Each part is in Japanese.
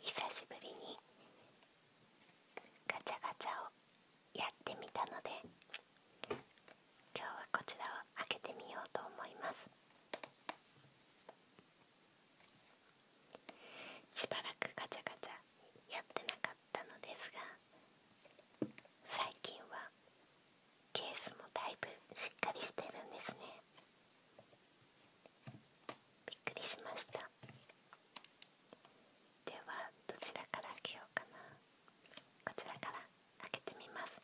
久しぶりにガチャガチャをやってみたので今日はこちらを開けてみようと思いますしばらくガチャガチャやってなかったのですが最近はケースもだいぶしっかりしてるんですねびっくりしましたではどちらから開けようかなこちらから開けてみます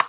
あ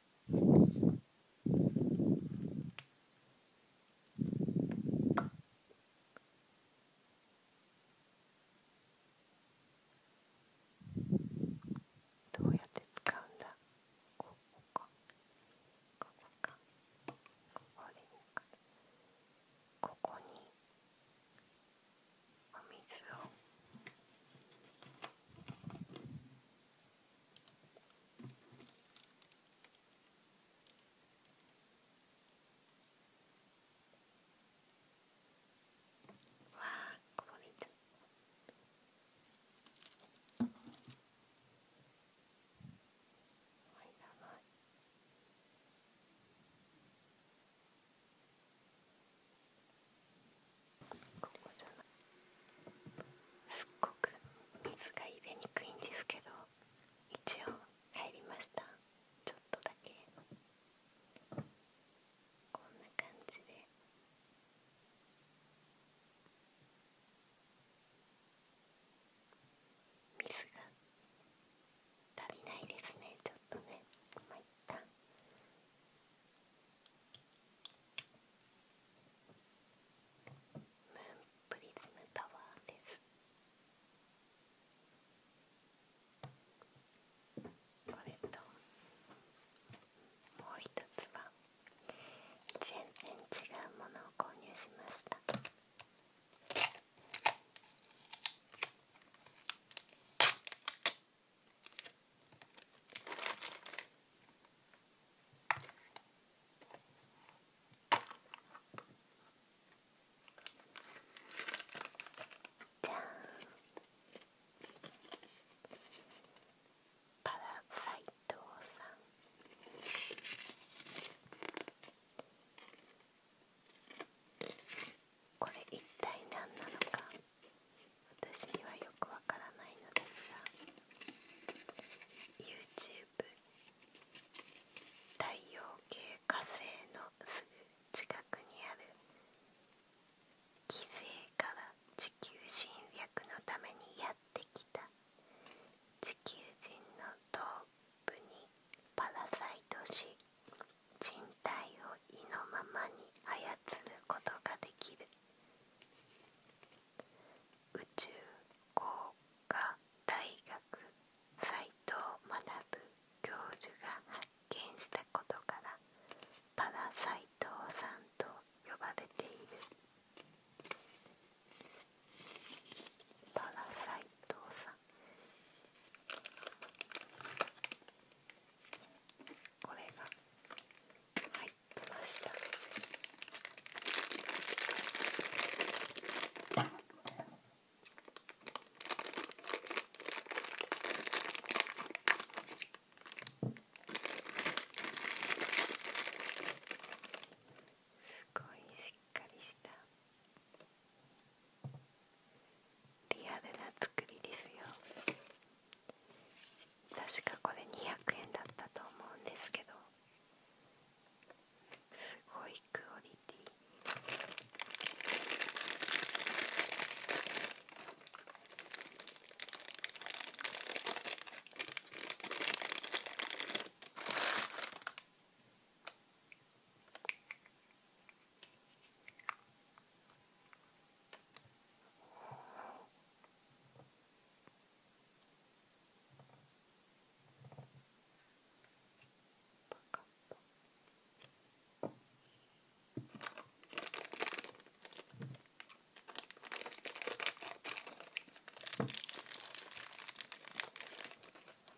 どうやって使うんだここかここかここにお水を。わあこぼれちゃここじゃないすっごく水が入れにくいんですけど一応入りましたちょっとだけこんな感じで水が足りないですねちょっとねまあ、一旦プリズムタワーですこれともう一つは全然違うものを購入しましたじゃんんこれ一体何なのか私にはよくわからないのですが YouTube 太陽系火星のすぐ近くにある犠牲から地球侵略のためにやってきた地球人のトップにパラサイトし人体を意のままに操ることができる宇宙工科大学斎藤学教授が発見したことからパラサ斎藤さんと呼ばれているパラ斎藤さんこれが入ってましたすごいしっかりしたリアルな作りですよ。確かこれ200円だったと思うんですけどすごいクオリティこ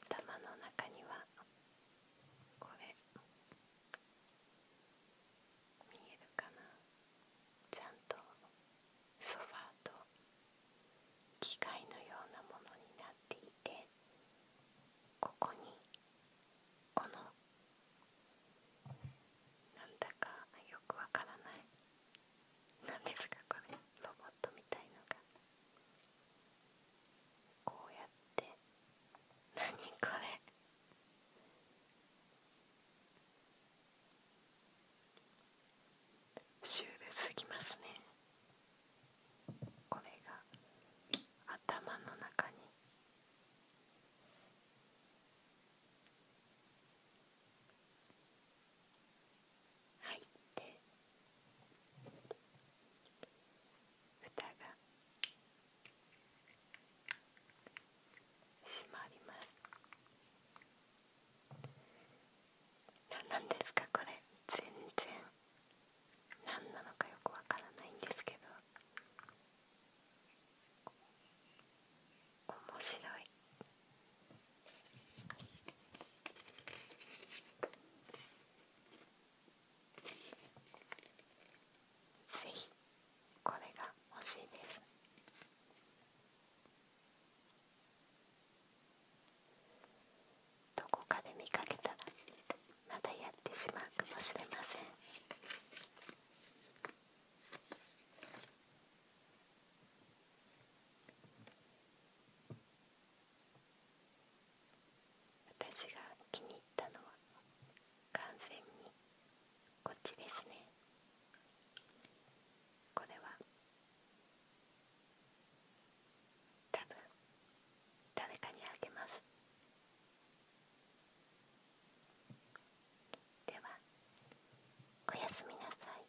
頭の中にはこれ見えるかなちゃんとソファーと機械のようなものになっていてここにこのなんだかよくわからないなんですかこれロボットみたいのがこうやってなにこれシュールすぎますねこれが頭の中に入って蓋が閉まります何なんですかこれ全然何なのかよくわからないんですけど面白いぜひこれが欲しいですどこかで見かけたらまたやってしまうかもしれません私が気に入ったのは完全にこっちですねこれは多分誰かにあげますではおやすみなさい